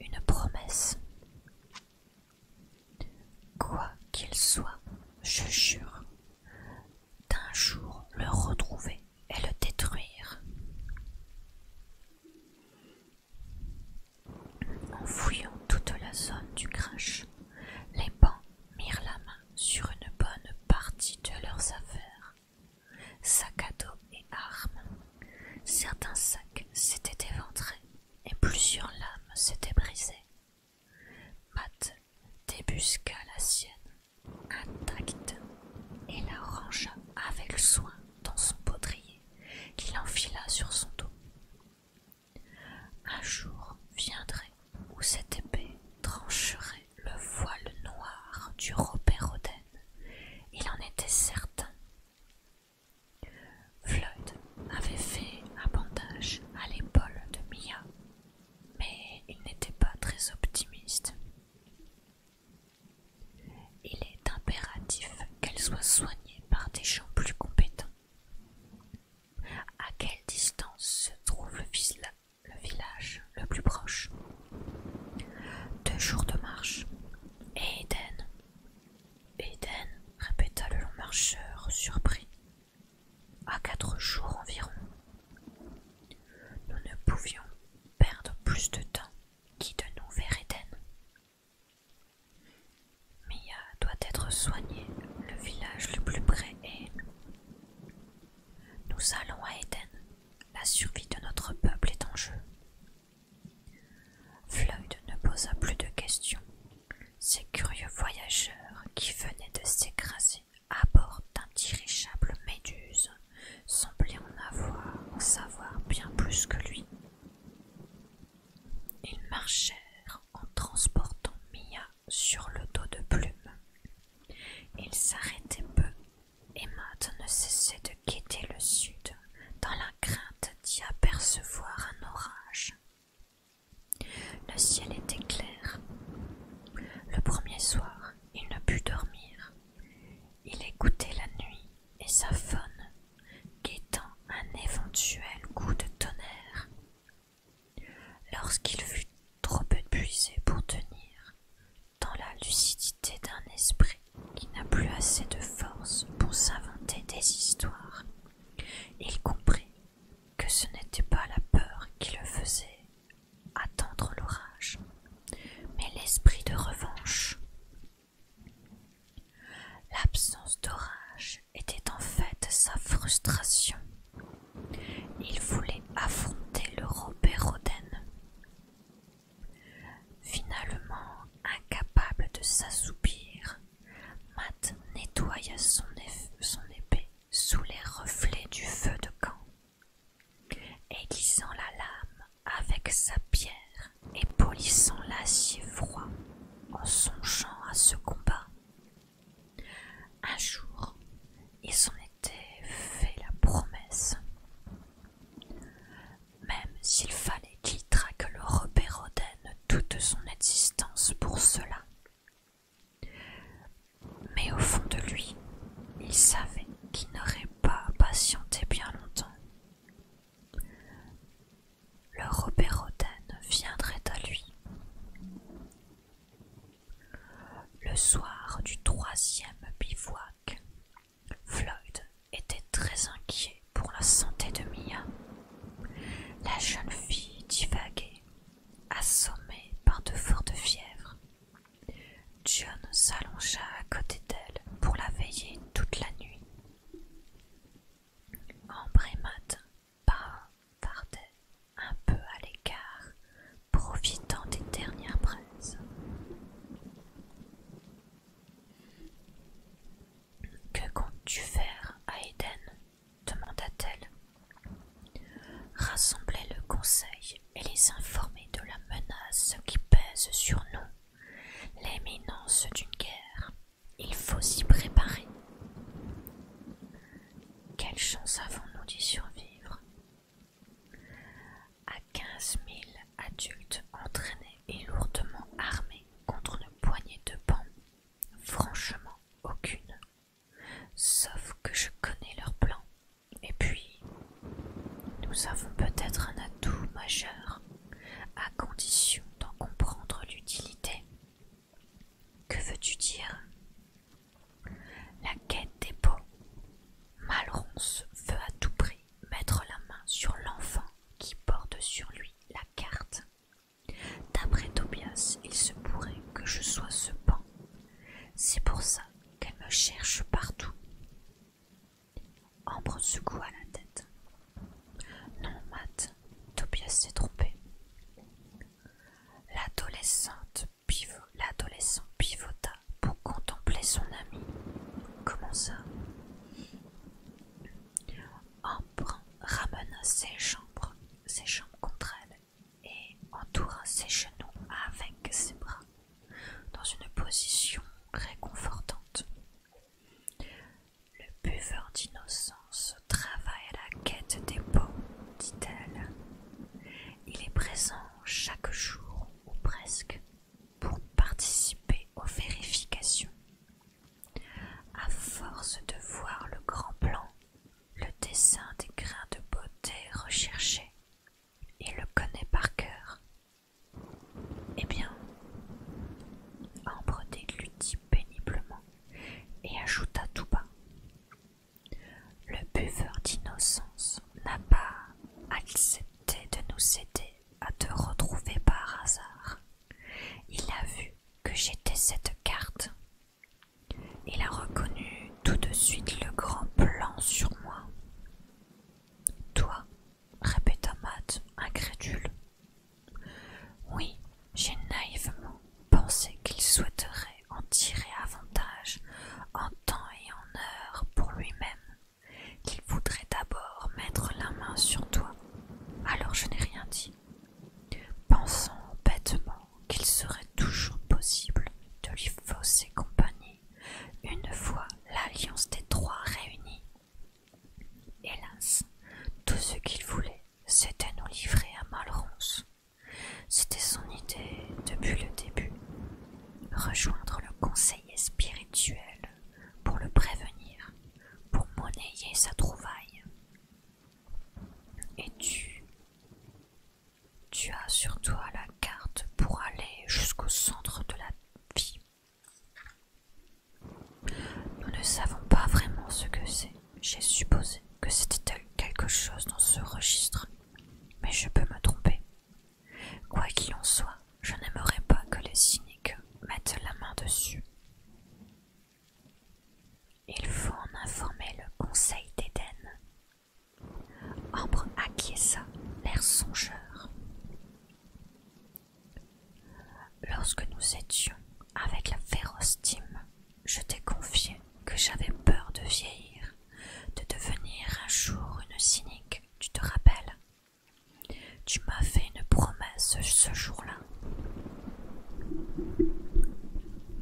A: une promesse. Quoi qu'il soit, je jure d'un jour le retrouver et le détruire. En fouillant toute la zone du crash, les bancs mirent la main sur une bonne partie de leurs affaires, sacs à dos et armes. Certains sacs s'étaient éventrés et plusieurs lames s'étaient brisées. Matt débusqua la sienne intacte et la rangea avec soin dans son potrier, qu'il enfila sur son dos. Un jour viendrait où cette épée trancherait le voile noir du Robert Il en était certain. Floyd avait fait un bandage à l'épaule de Mia, mais il n'était pas très optimiste. Il est impératif qu'elle soit soignée par des gens plus compétents. À quelle distance se trouve le, village le plus proche Deux jours de marche. Et Eden Eden, répéta le long marcheur, surpris. À quatre jours environ. Nous ne pouvions perdre plus de temps qui de nous vers Éden Mia doit être soignée, le village le plus près est. Nous allons à Éden, la survie de notre peuple est en jeu. Floyd ne posa plus de questions. Ces curieux voyageurs qui venaient de s'écraser à bord d'un dirigeable méduse semblait en avoir, en savoir bien plus que lui. Ils marchèrent en transportant Mia sur le dos de Plume. Ils s'arrêtaient peu et Matt ne cessait de quitter le sud dans la crainte d'y apercevoir un orage. Le ciel était clair. Le premier soir, il ne put dormir il écoutait la nuit et sa faune, guettant un éventuel coup de tonnerre. Lorsqu'il fut trop épuisé pour tenir, dans la lucidité d'un esprit qui n'a plus assez de force pour s'inventer des histoires, il comprit que ce n'était pas la peur qui le faisait attendre l'orage, mais l'esprit de revanche. L'absence d'orage était en fait sa frustration. Il voulait affronter le Robert Roden. Finalement, incapable de s'assoupir, Matt nettoya son, son épée sous les reflets du feu de camp aiguisant la lame avec sa pierre et polissant l'acier froid en songeant à ce combat. Un jour, il s'en était fait la promesse. Même s'il fallait qu'il traque le Robert toute son existence pour cela. Mais au fond de lui, il savait qu'il n'aurait pas patienté bien longtemps. Le Robert viendrait à lui. Le soir du troisième bivouac, Floyd était très inquiet pour la santé de Mia. La jeune fille divaguait, assommée par de fortes fièvres, John s'allongea à côté d'elle pour la veiller toute la nuit. Ambre et Matt un peu à l'écart, profitant des dernières braises. Que comptes-tu faire à Eden demanda-t-elle. Rassembler le conseil et les informer de la menace qui pèse sur nous L'éminence d'une guerre, il faut s'y préparer. Quelle chance avons-nous d'y survivre À 15 mille adultes entraînés et lourdement armés contre une poignée de bancs, franchement aucune. Sauf que je connais leur plan, et puis nous avons peut-être un atout majeur, à condition d'en comprendre l'utilité. Que veux-tu dire La quête des pots. Malronce veut à tout prix mettre la main sur l'enfant qui porte sur lui la carte. D'après Tobias, il se pourrait que je sois ce pan. C'est pour ça qu'elle me cherche partout. Ambre secoua la tête. Non, Matt, Tobias s'est trompé. L'adolescente l'adolescent pivota pour contempler son ami. Comment ça Ambre ramena ses ses jambes contre elle et entoura ses genoux avec ses bras dans une position réconfortante. Le buveur d'innocence travaille à la quête des beaux, dit-elle. Il est présent chaque jour, ou presque, pour participer aux vérifications. À force de voir le grand plan, le dessin des grains de beauté recherchés, il le connaît par cœur eh bien, Ambreté lui dit péniblement et ajouta tout bas Le buveur d'innocence n'a pas accepté de nous aider à te retrouver par hasard. Il a vu que j'étais cette carte. Il a reconnu tout de suite le grand plan sur moi. Toi, répéta Matt, incrédule. Oui, j'ai naïvement pensé qu'il souhaiterait en tirer avantage en temps et en heure pour lui-même, qu'il voudrait d'abord mettre la main sur toi. Alors je n'ai rien dit, pensant bêtement qu'il serait toujours possible de lui fausser compagnie une fois l'alliance des trois réunie. Hélas, tout ce qu'il voulait, c'était nous livrer à Malronce. C'était son idée depuis le début. Rejoindre le conseiller spirituel pour le prévenir, pour monnayer sa trouvaille. Et tu... Tu as sur toi la carte pour aller jusqu'au centre de la vie nous ne savons pas vraiment ce que c'est. J'ai supposé que c'était quelque chose dans ce registre, mais je peux me tromper. Quoi qu'il en soit, je n'aimerais pas que les cyniques mettent la main dessus. Il faut en informer le conseil d'Éden. Ambre acquiesça, l'air songeur. Lorsque nous étions avec la féroce Tim, je t'ai confié que j'avais peur de vieillir, de devenir un jour une cynique, tu te rappelles Tu m'as fait une promesse ce jour-là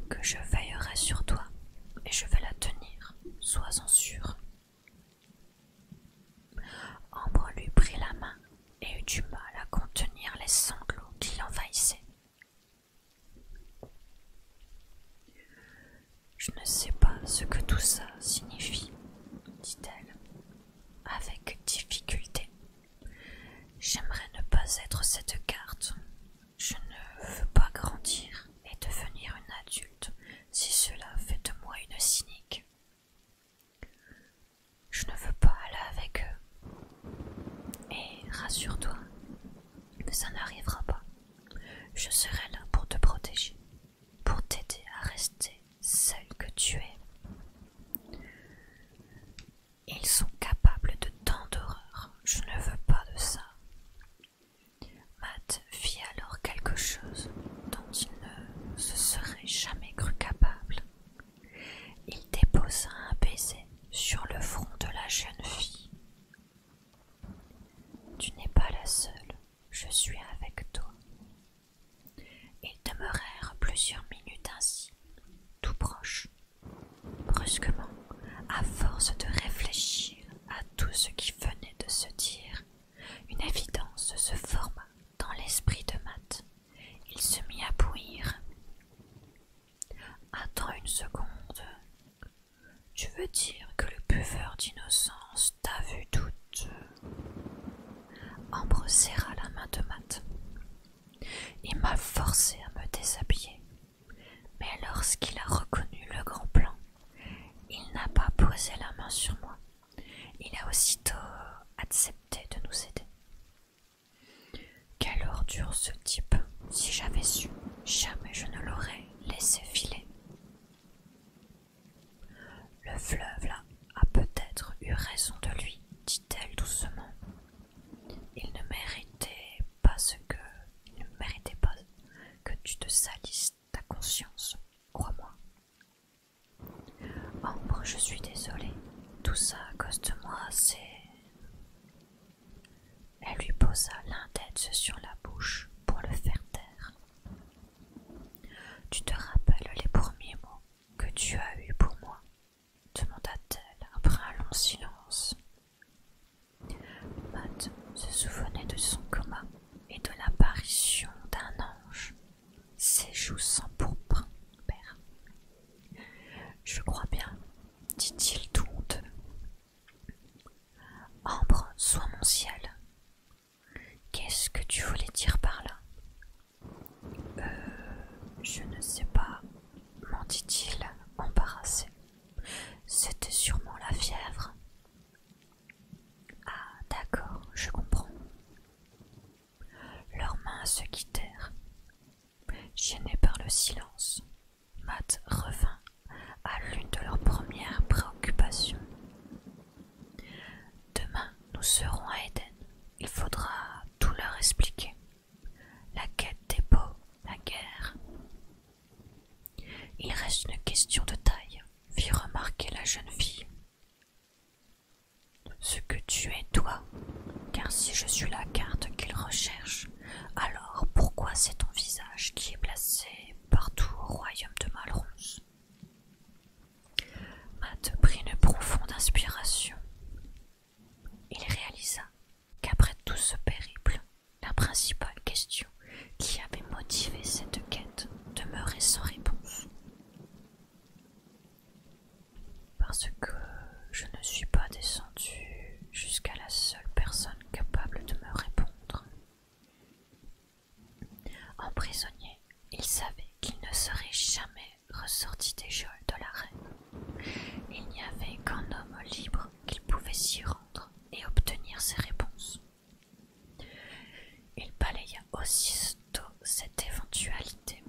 A: que je veillerai sur toi et je vais la tenir, sois-en sûr. Ambre lui prit la main et eut du mal à contenir les sanglots qui l'envahissaient. Je ne sais pas ce que tout ça signifie, dit-elle, avec difficulté. J'aimerais ne pas être cette carte. Je ne veux pas grandir et devenir une adulte si cela fait de moi une cynique. Je ne veux pas aller avec eux. Et rassure-toi, ça n'arrivera pas. Je serai là pour te protéger, pour t'aider à rester celle que tu es. Ils sont capables de tant d'horreurs. je ne veux pas de ça. Matt fit alors quelque chose il ne se serait jamais cru capable. Il déposa un baiser sur le front de la jeune fille. Tu n'es pas la seule, je suis avec toi. Ils demeurèrent plusieurs minutes ainsi, tout proches. Brusquement, à force de réfléchir à tout ce qui venait de se dire, une évidence se forma dans l'esprit de Matt. Il se mit à bouillir. Attends une seconde. Tu veux dire que le buveur d'innocence t'a vu toute. Ambre serra la main de Matt. Il m'a forcé à me déshabiller. Mais lorsqu'il a reconnu le grand plan, il n'a pas posé la main sur moi. Il a aussitôt accepté de nous aider. Quelle ordure ce type Si j'avais su, jamais je ne l'aurais laissé filer. Le fleuve là a peut-être eu raison de lui, dit-elle doucement. Il ne méritait pas ce que. Il ne méritait pas que tu te salisses ta conscience, crois-moi. Ambre, je suis désolée. Tout ça à cause de moi, c'est. Elle lui posa l'index sur la bouche pour le faire taire. Tu te rappelles les premiers mots que tu as eus pour moi demanda-t-elle après un long silence. Matt se souvenait de son coma et de l'apparition d'un ange ses joues pourpre, père. Je crois bien, dit-il tout honteux. Ambre, sois mon ciel. Qu'est-ce que tu voulais dire par là euh, Je ne sais pas, m'en dit il embarrassé. C'était sûrement la fièvre. Ah, d'accord, je comprends. Leurs mains se quittèrent. Gêné par le silence, Matt revint à l'une de leurs premières préoccupations. Demain, nous serons à éden Il faudra tout leur expliquer. La quête des peaux, la guerre. Il reste une question de taille, fit remarquer la jeune fille. Ce que tu es toi, car si je suis la carte qu'il recherche, alors pourquoi c'est ton visage qui est placé partout au royaume de Malrose? Matt prit une profonde inspiration. Il réalisa qu'après tout ce périple, la principale question qui avait motivé cette quête demeurait sans réponse. Parce que je ne suis pas descendu jusqu'à la seule personne capable de me répondre. En prisonnier, il savait qu'il ne serait jamais ressorti des geôles de la reine. Il n'y avait qu'un homme libre qu'il pouvait s'y rendre et obtenir ses réponses. Il balaya aussitôt cette éventualité.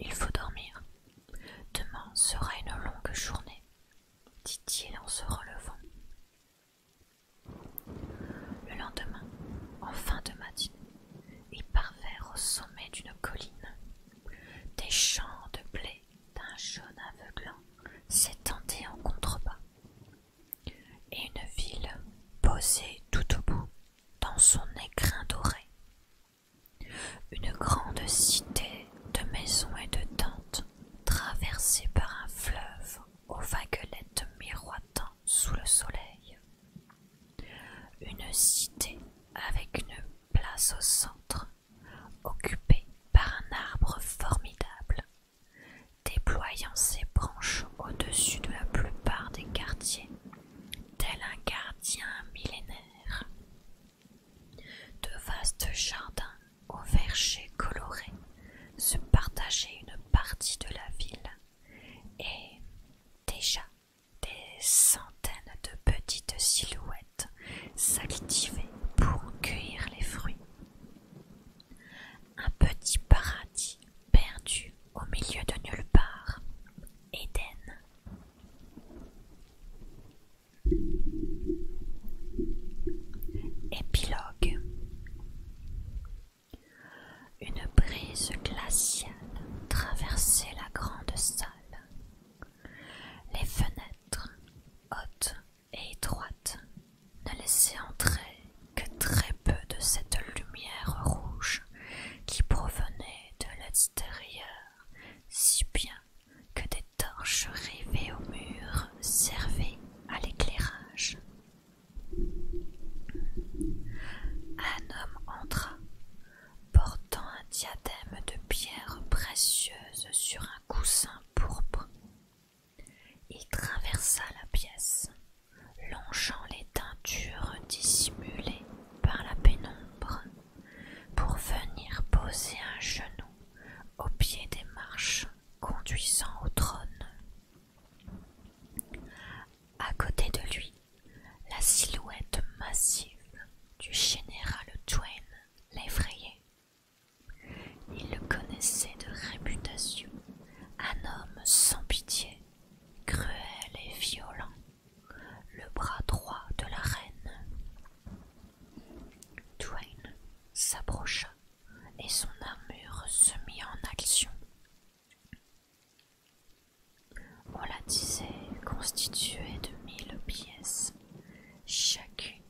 A: Il faut dormir. Demain sera une longue journée, dit-il en se relevant. Le lendemain, en fin de matinée, ils parvinrent au sommet d'une colline. Des champs de blé d'un jaune aveuglant s'étendaient en contrebas, et une ville posée tout au bout dans son écrin doré. Une grande cité de maisons et de tentes, traversée par un fleuve aux vaguelettes miroitant sous le soleil. Une cité avec une place au centre, occupée par un arbre formidable, déployant ses branches au-dessus de la plupart des quartiers tel un gardien millénaire. De vastes jardins aux vergers colorés se partageaient une partie de la ville et déjà des centaines de petites silhouettes s'activaient pour cueillir les fruits. Un petit paradis perdu au milieu de nulle part, Éden. Épilogue Une brise glaciale traversait la grande salle. Les fenêtres, hautes et étroites, ne laissaient entrer que très peu de cette lumière rouge qui provenait de l'extérieur, si bien que des torches rivées au mur servaient à l'éclairage. Un homme entra, portant un diadème de pierre précieuse sur un coussin pourpre. Il traversa la pièce longeant les teintures dissimulées par la pénombre pour venir poser un genou au pied des marches conduisant au trône. À côté de lui, la silhouette massive du général Twain l'effrayait. Il le connaissait de réputation, un homme sans pitié cruel et violent, le bras droit de la reine. Dwayne s'approcha et son armure se mit en action. On la disait constituée de mille pièces, chacune,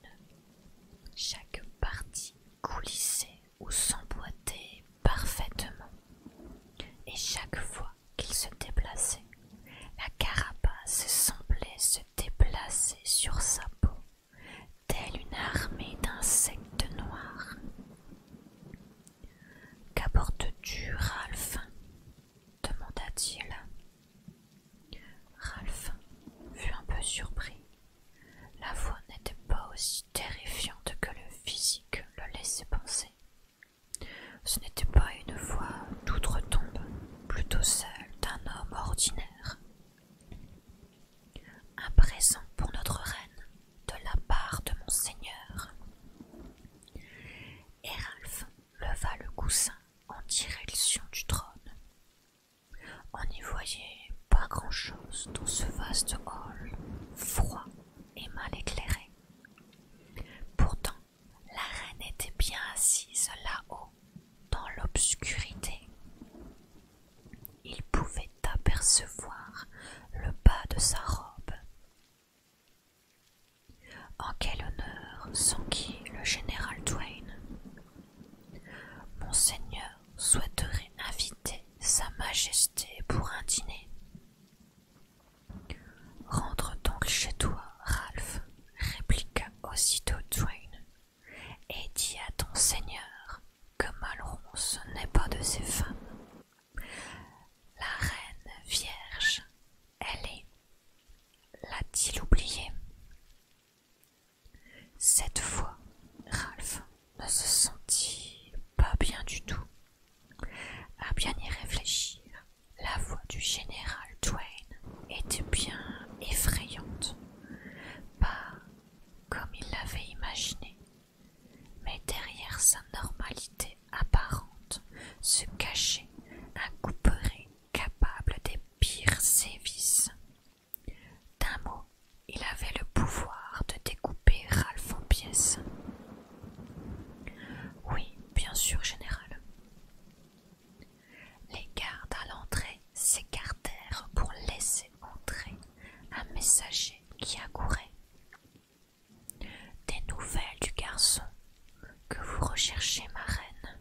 A: chaque partie coulissait ou s'emboîtait parfaitement, et chaque fois qu'il se déplaçait, la carapace semblait se déplacer sur sa peau, telle une armée d'insectes noirs. Qu'apportes-tu, Ralph demanda-t-il. Ralph fut un peu surpris. La voix n'était pas aussi terrifiante que le physique le laissait penser. Ce n'était pas une voix d'outre-tombe, plutôt celle d'un homme ordinaire. Un présent pour notre reine, de la part de mon seigneur. Et leva le coussin en direction du trône. On n'y voyait pas grand-chose dans ce vaste hall, froid et mal éclairé. Pourtant, la reine était bien assise là-haut, dans l'obscurité. Il pouvait apercevoir le bas de sa robe. En quel honneur s'enquit le général Twain Monseigneur souhaiterait inviter Sa Majesté pour un dîner. Rentre donc chez toi, Ralph, répliqua aussitôt Dwayne, et dis à ton seigneur que Malronce n'est pas de ses femmes. La reine vierge, elle est. L'a-t-il oublié Cette fois, Ralph ne se sentit pas bien du tout. À bien y réfléchir, la voix du général Twain était bien effrayante. Pas comme il l'avait imaginé, mais derrière sa normalité apparente se cachait un couperet capable des pires sévices. D'un mot, il avait le pouvoir de découper Ralph en pièces, oui, bien sûr, général. Les gardes à l'entrée s'écartèrent pour laisser entrer un messager qui accourait. Des nouvelles du garçon que vous recherchez, ma reine,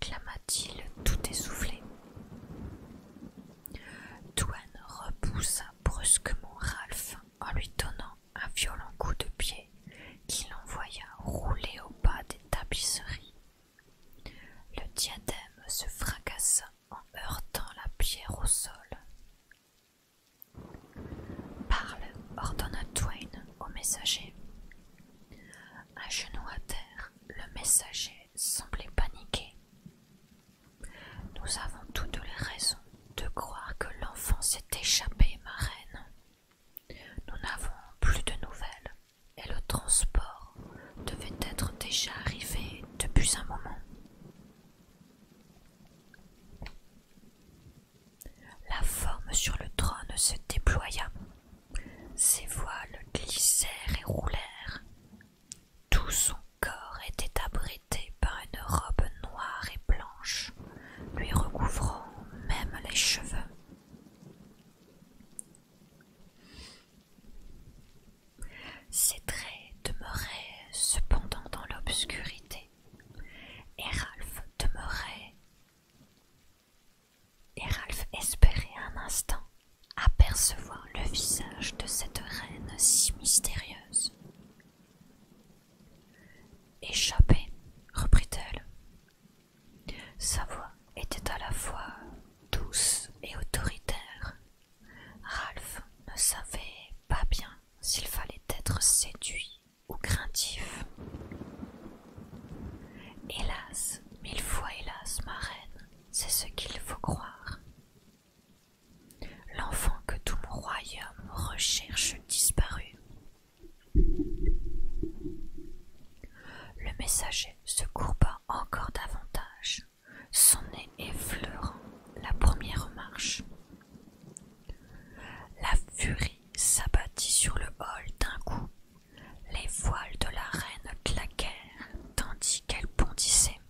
A: clama-t-il tout essoufflé. Douane repoussa brusquement Ralph en lui donnant un violent coup de pied qui l'envoya rouler au bas des tapisseries. Le diadème se fracassa en heurtant la pierre au sol. Parle, ordonna Twain au messager. À genoux à terre, le messager semblait paniquer. « Nous avons toutes les raisons de croire que l'enfant s'est échappé, ma reine. Nous n'avons plus de nouvelles, et le transport devait être déjà arrivé depuis un moment. La forme sur le trône se déploya. Ses voiles glissèrent et roulèrent. Tout son corps était abri par une robe noire et blanche, lui recouvrant même les cheveux. Ses traits demeuraient cependant dans l'obscurité, Et Ralph espérait un instant apercevoir le visage de cette reine si mystérieuse. Échapper, reprit-elle. Sa voix était à la fois douce et autoritaire. Ralph ne savait pas bien s'il fallait être séduit ou craintif. Hélas, mille fois hélas, ma reine, c'est ce qu'il faut croire l'enfant que tout mon royaume recherche disparut. Le messager se courba encore davantage, son nez effleurant la première marche. La furie s'abattit sur le hall d'un coup. Les voiles de la reine claquèrent tandis qu'elle bondissait.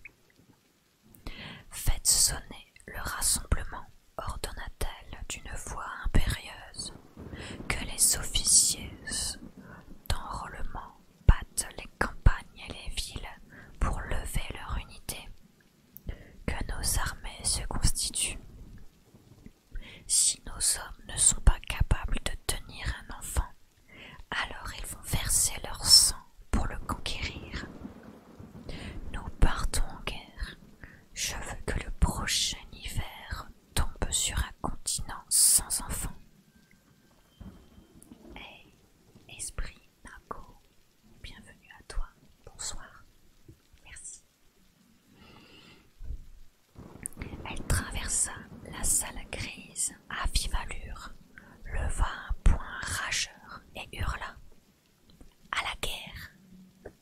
A: Faites sonner le rassemblement ordonna-t-elle d'une voix impérieuse que les officiers d'enrôlement battent les campagnes et les villes pour lever leur unité, que nos armées se constituent. Si nos hommes ne sont pas capables de tenir un enfant, alors ils vont verser leur sang pour le conquérir. Nous partons en guerre, je veux que le prochain hiver tombe sur un continent sans enfants. Hey, esprit Marco, bienvenue à toi. Bonsoir. Merci. Elle traversa la salle grise à vive allure, leva un poing rageur et hurla à la guerre.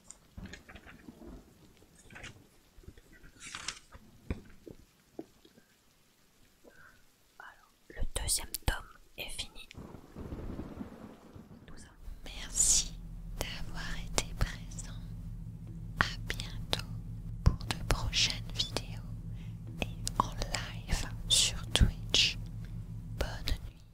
A: Alors, le deuxième tome est fini. Merci d'avoir été présent. À bientôt pour de prochaines vidéos et en live sur Twitch. Bonne nuit.